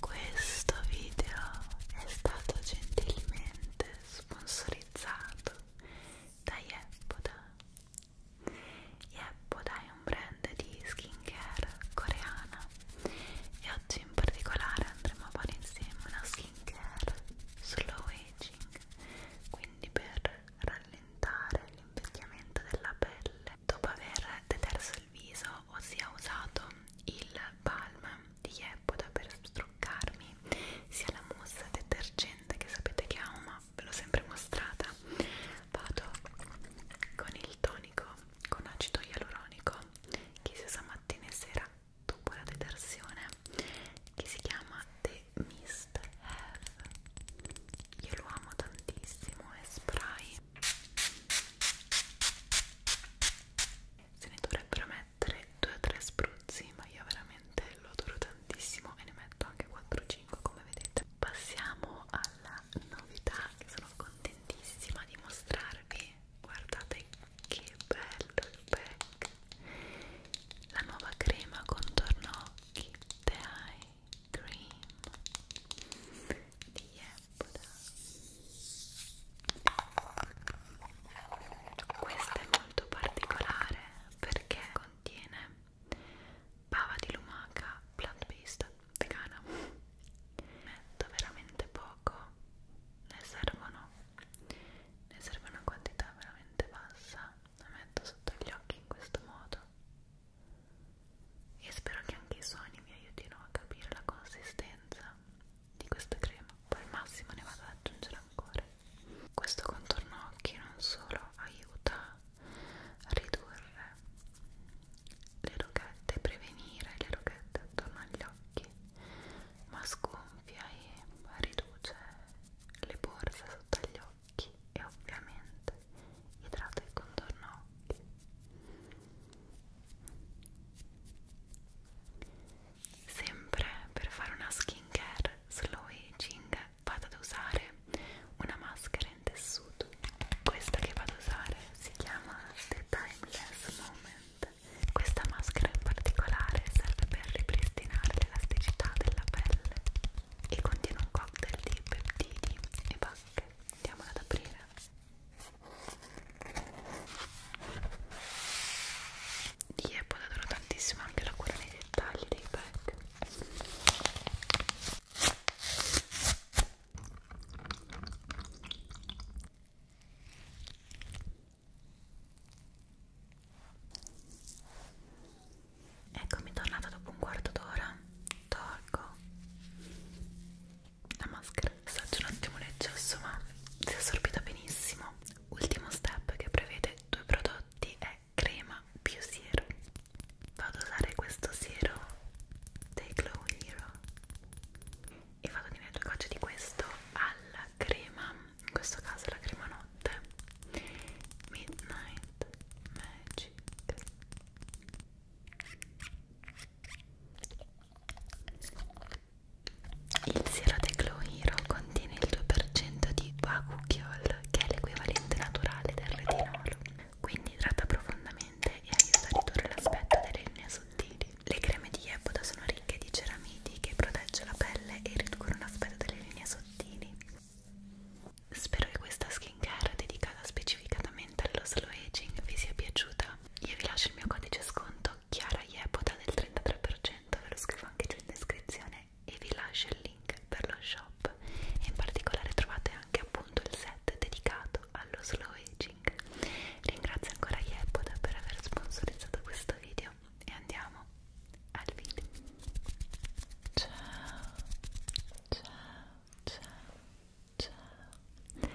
Questo video è stato gentilmente sponsorizzato da Yepoda Yepoda è un brand di skincare coreana e oggi in particolare andremo a fare insieme una skincare slow aging quindi per rallentare l'invecchiamento della pelle dopo aver deterso il viso ossia usato il balm di Yepoda per struccarmi sia la mousse detergente che sapete che amo ma ve l'ho sempre mostrata vado con il tonico con acido ialuronico che si usa mattina e sera dopo la detersione che si chiama The Mist Have io lo amo tantissimo è spray se ne dovrebbero mettere 2 o 3 spruzzi ma io veramente lo adoro tantissimo e ne metto anche 4-5 5 come vedete passiamo alla novità che sono contentissima di mostrarvi guardate che bello il pack la nuova crema contorno occhi The Eye Cream di Yepoda questa è molto particolare perché contiene bava di lumaca plant-based vegana metto veramente poco ne servono ne serve una quantità veramente bassa la metto sotto gli occhi in questo modo e spero che anche i suoni mi aiutino a capire la consistenza di questa crema poi al massimo ne vado ad aggiungere ancora questo contorno occhi non solo aiuta ridurre le roghette, prevenire le roghette attorno agli occhi, ma sgonfia e riduce le borse sotto agli occhi e ovviamente idrata il contorno occhi. Sempre per fare una skin care slow aging vado ad usare una maschera in tessuto questa che vado ad usare si chiama The Timeless Moment questa maschera in particolare serve per ripristinare l'elasticità della pelle e contiene un cocktail di peptidi e bacche andiamola ad aprire Diep adoro tantissimo anche la cura nei dettagli dei pack Eccomi tornata dopo un quarto d'ora. Tolgo la maschera. Assaggio un attimo l'eccesso, ma si è assorbita benissimo. Ultimo step che prevede due prodotti è è crema più siero vado ad usare questo siero dei Glow Hero e vado a tenere due gocce di questo alla crema in questo caso la crema notte Midnight Magic il siero dei Glow Hero contiene il 2% di bakuchiol che è l'equivalente naturale del retinolo quindi idrata profondamente e aiuta a ridurre l'aspetto delle linee sottili. Le creme di Yepoda sono ricche di ceramidi che protegge la pelle e riducono l'aspetto delle linee sottili. Spero che questa skincare dedicata specificatamente allo slow aging vi sia piaciuta. Io vi lascio il mio codice sconto Chiara Yepoda del 33%, ve lo scrivo anche giù in descrizione e vi lascio il link link per lo shop e in particolare trovate anche appunto il set dedicato allo slow aging ringrazio ancora Yepoda per aver sponsorizzato questo video e andiamo al video ciao ciao ciao ciao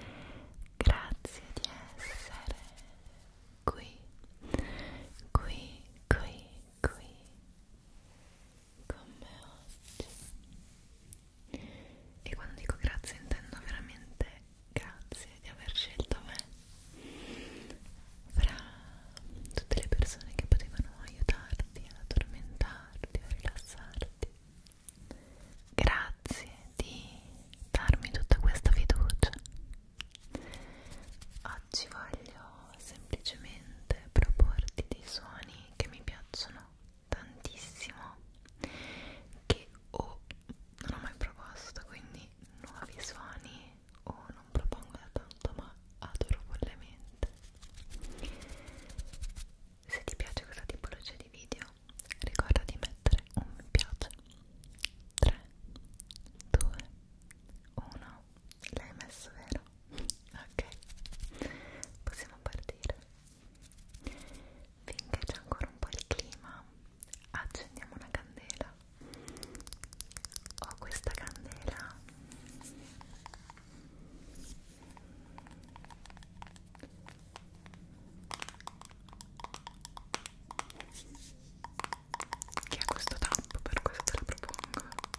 grazie di essere qui qui qui qui con me oggi e quando dico grazie intendo veramente grazie di aver scelto me fra tutte le persone che potevano aiutarti ad addormentarti a rilassarti grazie di darmi tutta questa fiducia oggi voglio semplicemente proporti dei suoni che mi piacciono tantissimo che o non ho mai proposto quindi nuovi suoni o non propongo da tanto ma adoro follemente se ti piace questa tipologia di video ricorda di mettere un mi piace 3 2 1 l'hai messo vero? ok possiamo partire finché c'è ancora un po' di clima accendiamo una candela ho questa candela che ha questo tappo per questo la propongo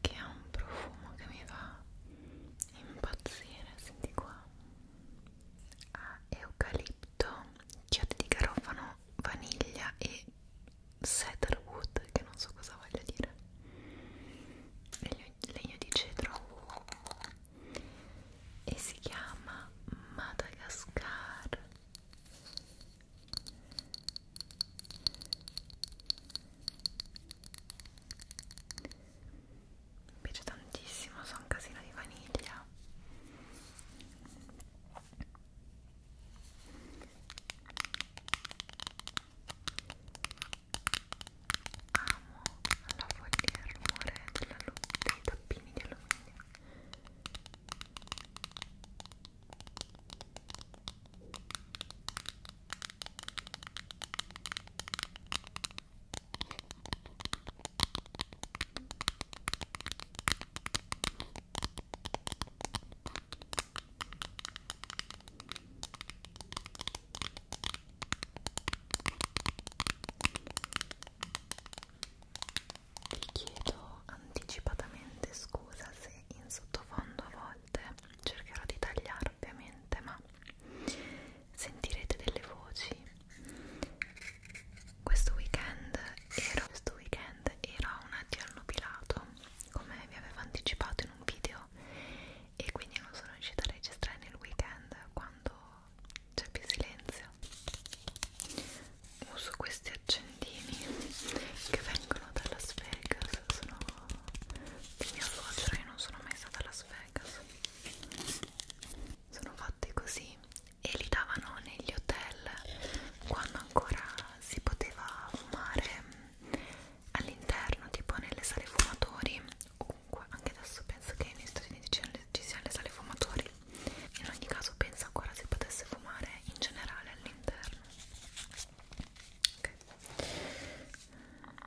che ha un profumo che mi fa impazzire senti qua ha eucalipto chiodi di garofano vaniglia e cedarwood che non so cosa voglia dire e li ho legno di cedro e si chiama Madagascar mi piace tantissimo, so un casino di vaniglia Amo la follia e il rumore della dei tappini di alluminio. Ecco vi chiedo anticipatamente scusa se in sottofondo a volte cercherò di tagliare ovviamente, ma sentirete delle voci. Questo weekend ero, questo weekend ero un addio al nubilato, come vi avevo anticipato in un video e quindi non sono riuscita a registrare nel weekend quando c'è più silenzio uso questi accendini che vengono da Las Vegas sono di mia suocera io non sono mai stata a Las Vegas sono fatti così e li davano negli hotel quando ancora si poteva fumare all'interno tipo nelle sale fumatori Comunque, anche adesso penso che negli Stati Uniti ci siano le sale fumatori. In ogni caso, penso ancora se potesse fumare in generale all'interno. Ok. Ok,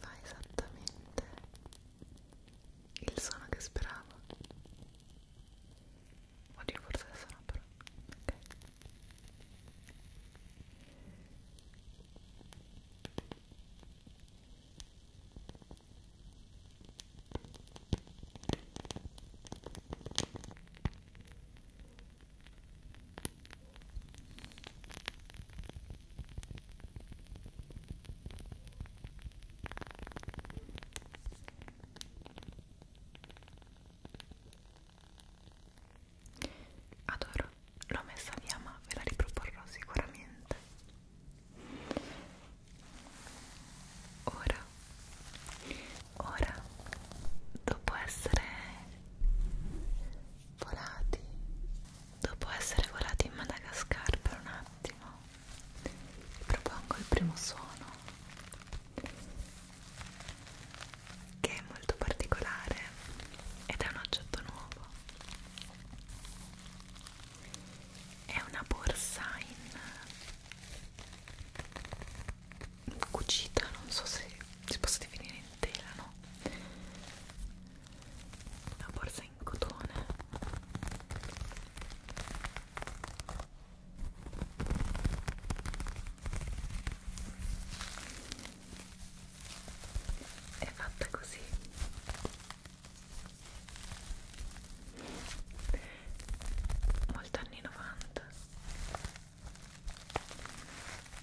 fa esattamente il suono che speravo oddio forse adesso no però ok Adoro, l'ho messa via ma ve la riproporrò sicuramente. Ora, ora, dopo essere volati dopo essere volati in Madagascar per un attimo vi propongo il primo suono che è molto particolare ed è un oggetto nuovo è una borsa in cucita non so se si possa definire in tela no una borsa in cotone è fatta così molto anni 90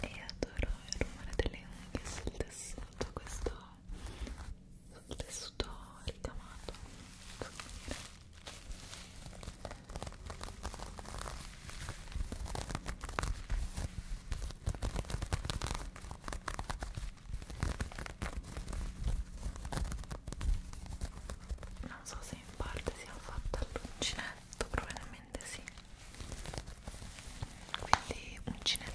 e adoro il rumore delle unghie sul tessuto questo sul tessuto ricamato e non so se in parte sia fatta all'uncinetto probabilmente sì quindi uncinettato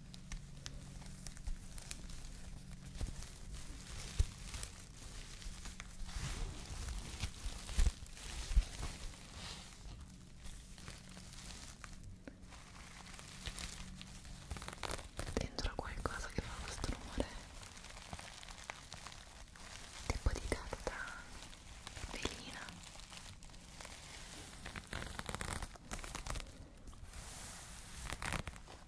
dentro qualcosa che fa questo rumore tipo di carta velina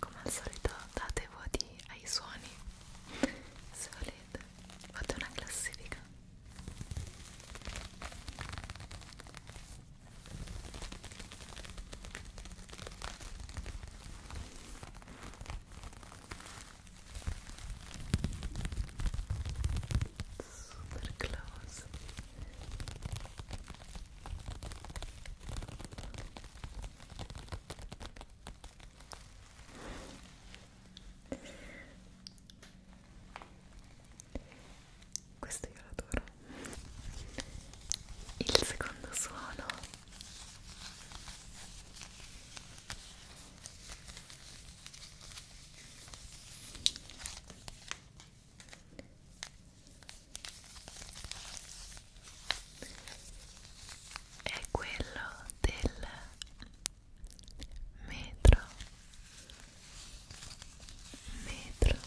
Come al solito date voti ai suoni se volete fate una classifica super close questo io lo adoro il secondo suono è quello del metro metro metro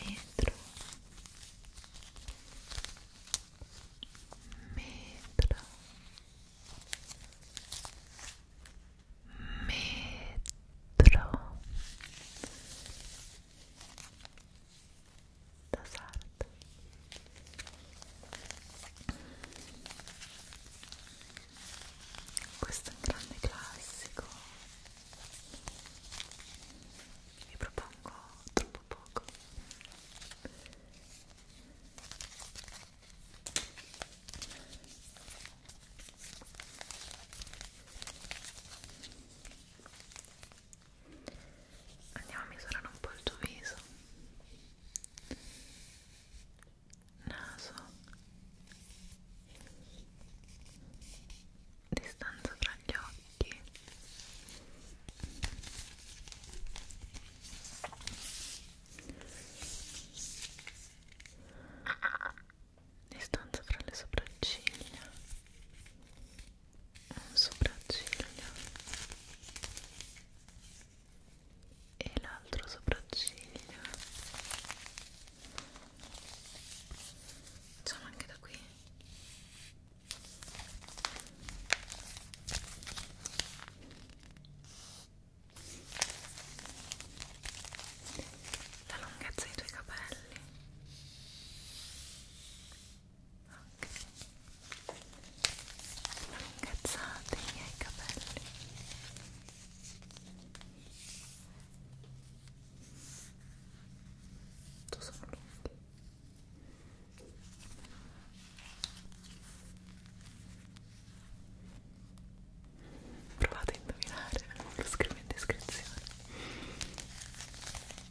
metro metro da sarda questo è un grande classico vi propongo troppo poco andiamo a misurare un po' il tuo viso naso distanza tra gli occhi distanza fra le sopracciglia un sopracciglia e l'altro sopracciglia facciamo anche da qui la lunghezza dei tuoi capelli Incazzate i miei capelli. Tu sono lunghi. Provate a indovinare, lo scrivo in descrizione.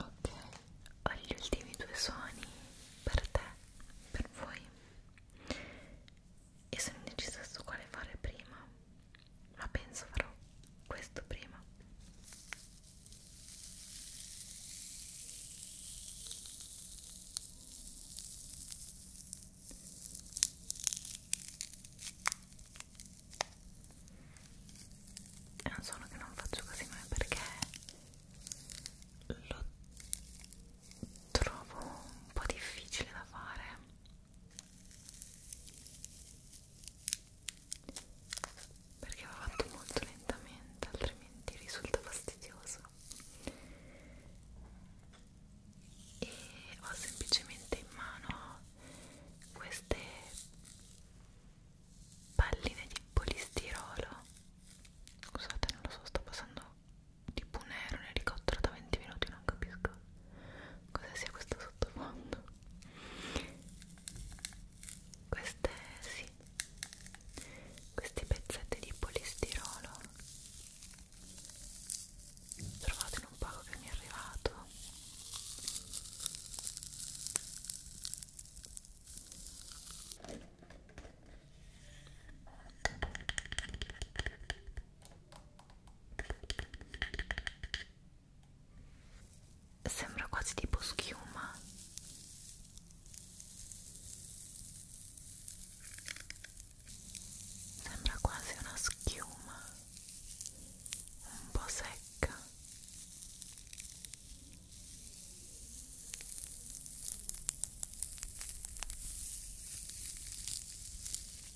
Ok, ho gli ultimi due suoni per te, per voi e sono indecisa su quale fare prima ma penso farò questo prima è un suono che non faccio così mai perché lo trovo un po' difficile da fare perché va fatto molto lentamente altrimenti risulta fastidioso e ho semplicemente in mano queste palline di polistirolo scusate non lo so sto passando tipo un aereo un elicottero da 20 minuti non capisco cosa sia questo sottofondo queste sì questi pezzetti di polistirolo trovate in un pacco che mi è arrivato sembra quasi tipo schiuma sembra quasi una schiuma un po' secca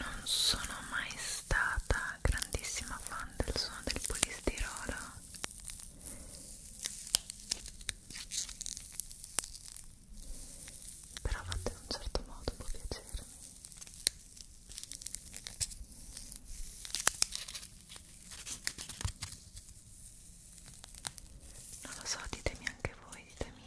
non sono mai stata grandissima fan del suono del polistirolo però fatto in un certo modo può piacermi non lo so, ditemi anche voi, ditemi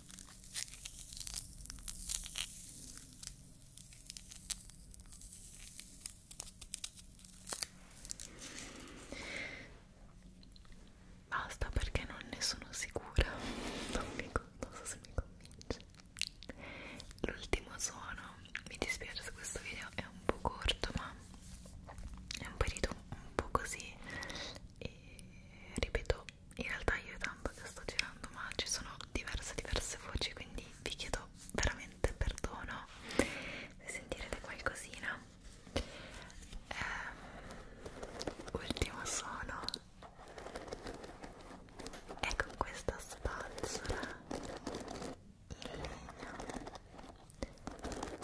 Basta perché non ne sono sicura. Non, mi, non so se mi convince. L'ultimo suono, mi dispiace se questo video è un po' corto, ma è un periodo un po' così. E ripeto, in realtà io tanto che sto girando ma ci sono diverse diverse voci quindi vi chiedo veramente perdono se sentirete qualcosina eh, ultimo suono è con ecco questa spazzola in legno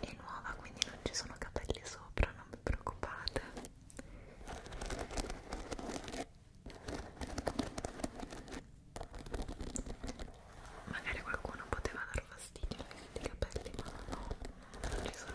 è nuova quindi non ci sono capelli sopra non vi preoccupate magari qualcuno poteva dar fastidio a questi capelli ma no, non ci sono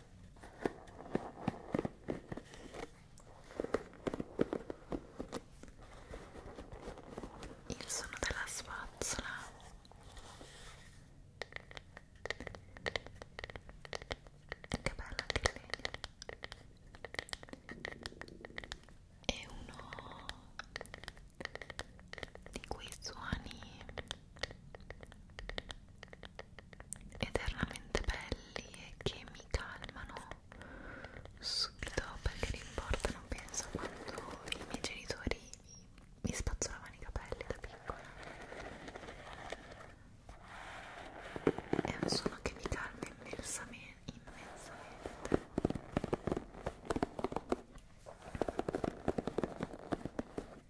il suono della spazzola che bella che bene è uno di quei suoni eternamente belli e che mi calmano subito perché l'importo non penso quando i miei genitori mi spazzolavano i capelli da piccola è un suono che mi calma immensamente immensamente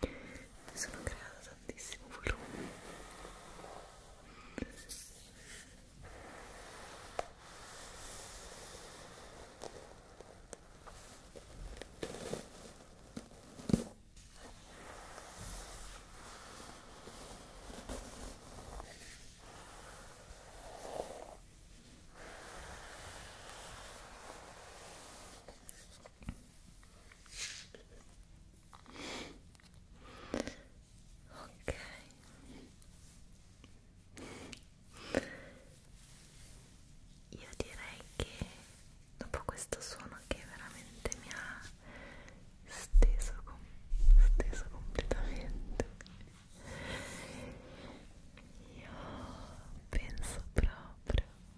mi sono creata tantissimo volume ok io direi che dopo questo suono che veramente mi ha steso, com steso completamente io penso proprio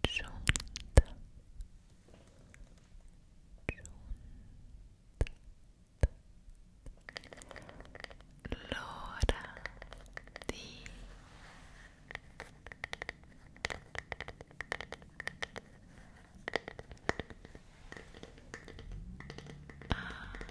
giunta giunta l'ora di Abbassare ah,